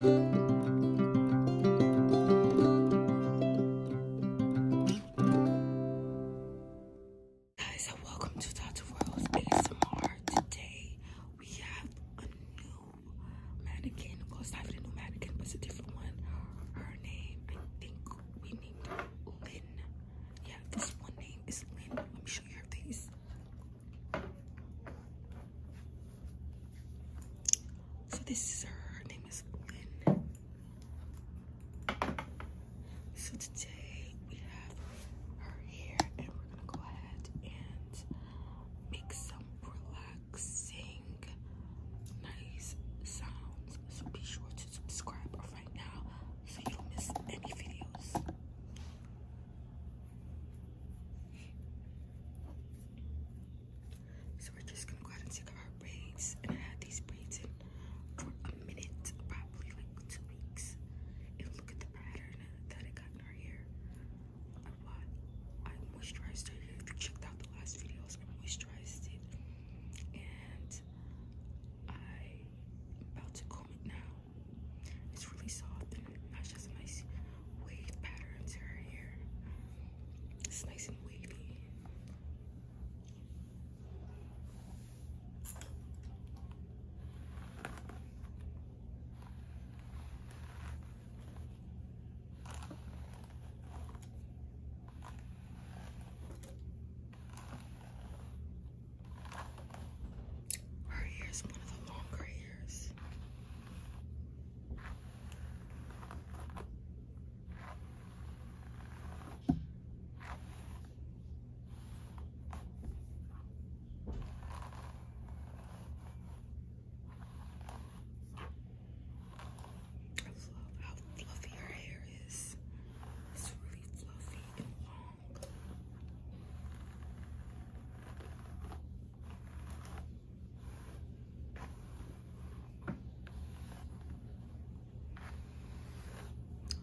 Guys, and welcome to Dr. Rose ASMR. Today we have a new mannequin. Well, it's not even a new mannequin, but it's a different one. Her name, I think we named Lynn. Yeah, this one name is Lynn. Let me show you her face. So this is her, name is Lynn. So today we have her here and we're gonna go ahead and make some relaxing nice sounds. So be sure to subscribe right now so you don't miss any videos. So we're just gonna go ahead and take our braids. And I had these braids for a minute, probably like two weeks. And look at the pattern that I got in her hair. I, moisturized her you checked out the last videos, I moisturized it. And i about to comb it now. It's really soft and that's just a nice wave pattern to her hair. It's nice and wavy. Her hair is one of the longer hairs. I love how fluffy her hair is. It's really fluffy and long.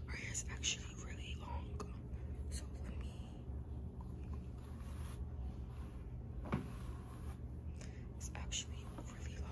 Our hair is actually really long, so let me. It's actually really long.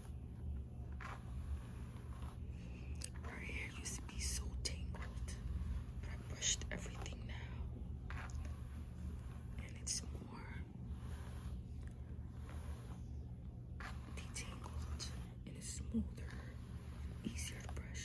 Her hair used to be so tangled, but I brushed everything now, and it's more detangled and it's smoother, and easier to brush.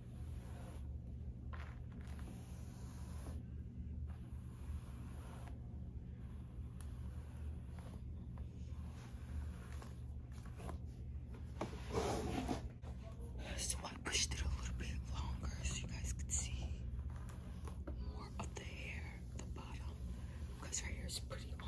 So I pushed it a little bit longer so you guys could see more of the hair, the bottom, because her hair is pretty long.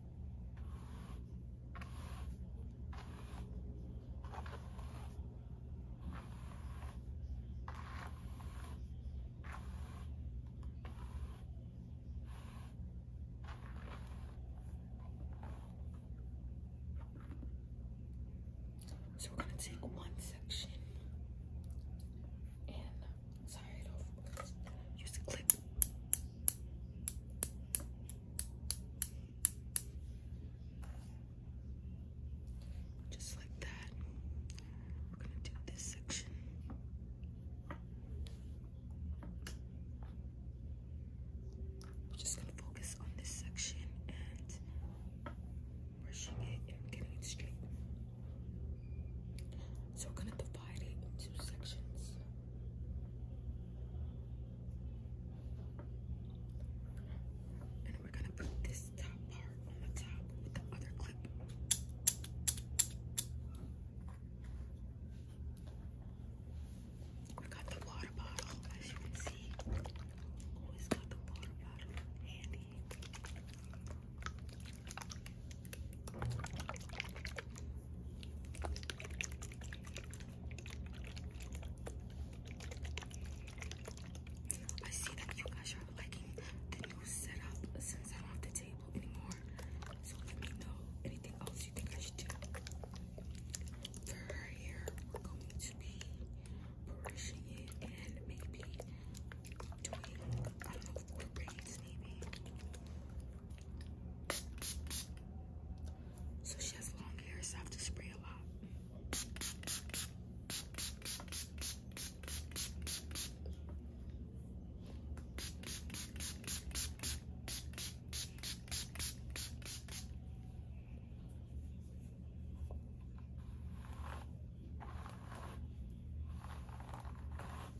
So we're going to take one section and tie it off. Use a clip. Just like that. We're going to do this section. just going to focus on this section and brushing it and getting it straight. So we're going to divide it into sections. And we're gonna put this top part on the top with the other clip. We got the water bottle, as you can see. Always got the water bottle handy. I see that you guys are liking the new setup since I don't have the table anymore. So let me know anything else you think do. For her hair, we're going to be brushing it and maybe doing, I don't know, braids maybe. So she has long hair, so I have to spray a lot.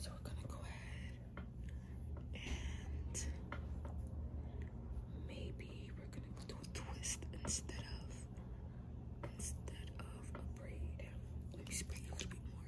So we're gonna go ahead and maybe we're gonna do a twist instead of instead of a braid. Let me spray a little bit more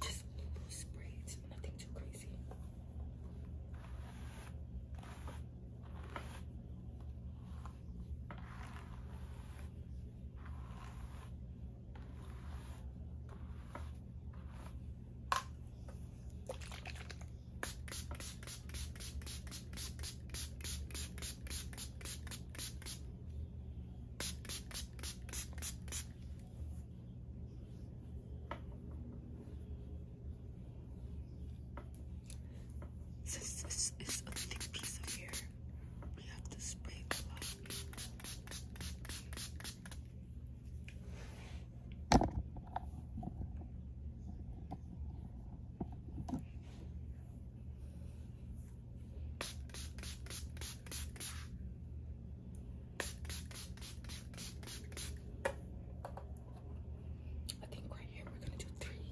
just loose braids, nothing too crazy this is a thick piece of hair, we have to spray clock. I think right here we're going to do three.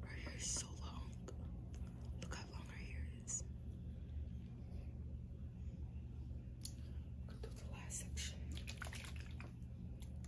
Her hair is so long. Look how long her hair is. Go to the last section.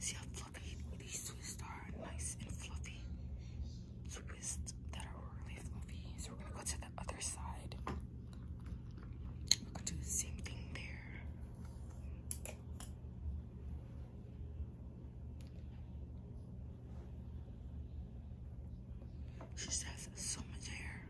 See how fluffy these twists are? Nice and fluffy. Twists that are really fluffy. So we're gonna go to the other side. We're do the same thing there. She says so much hair.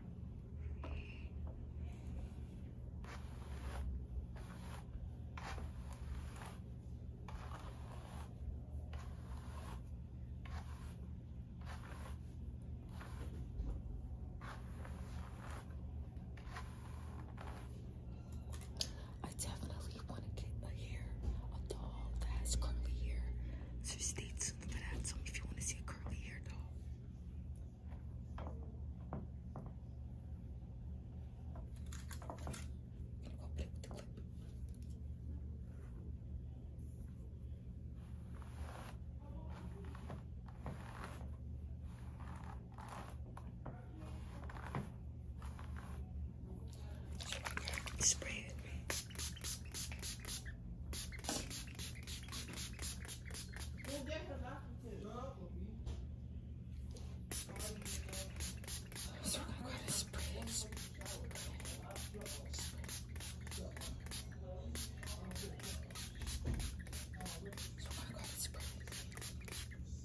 I definitely want to get a hair, a doll that has curly hair. So stay tuned for that. Tell if you want to see a curly hair doll. gonna go play with the clip. Spray it. So I'm going to spray it. Spray it. So I'm going to spray it.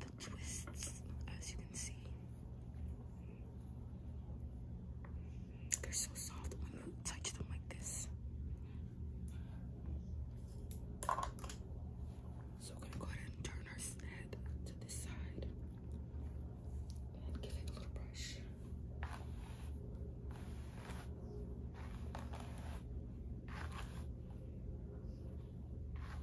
the twists, as you can see. They're so soft when you touch them like this. So we're gonna go ahead and turn our head to this side and give it a little brush.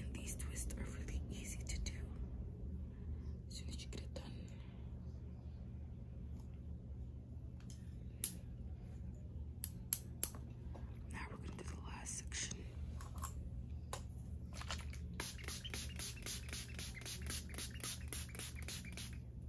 And these twists are really easy to do as you get done. Now we're going to do the last section.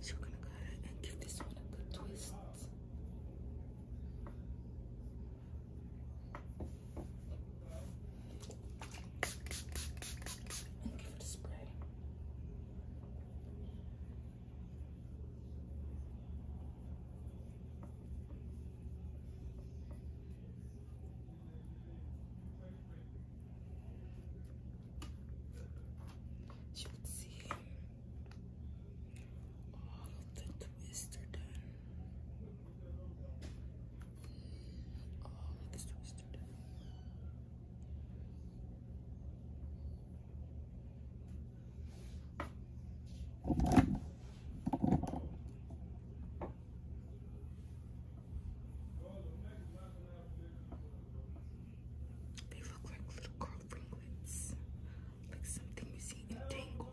So we're gonna go ahead and give this one a good twist and give it a spray. As you see all of the twists Oh, They look like little curl ringlets, like something you see in Tangled.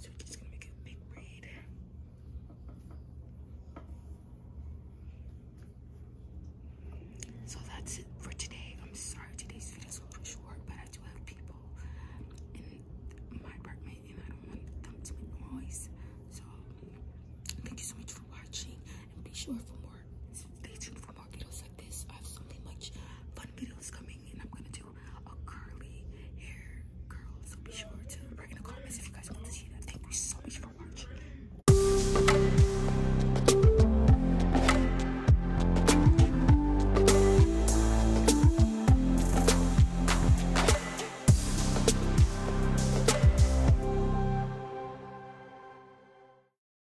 So we're just gonna make a big braid. So that's it for today. I'm sorry today's videos were pretty short, but I do have people in my apartment and I don't want them to make noise. So thank you so much for watching and be sure for more stay tuned for more videos like this. I have something many much fun videos coming and I'm gonna do a curly hair curl. So be sure to write in the comments if you guys want to see that. Thank you so much for watching.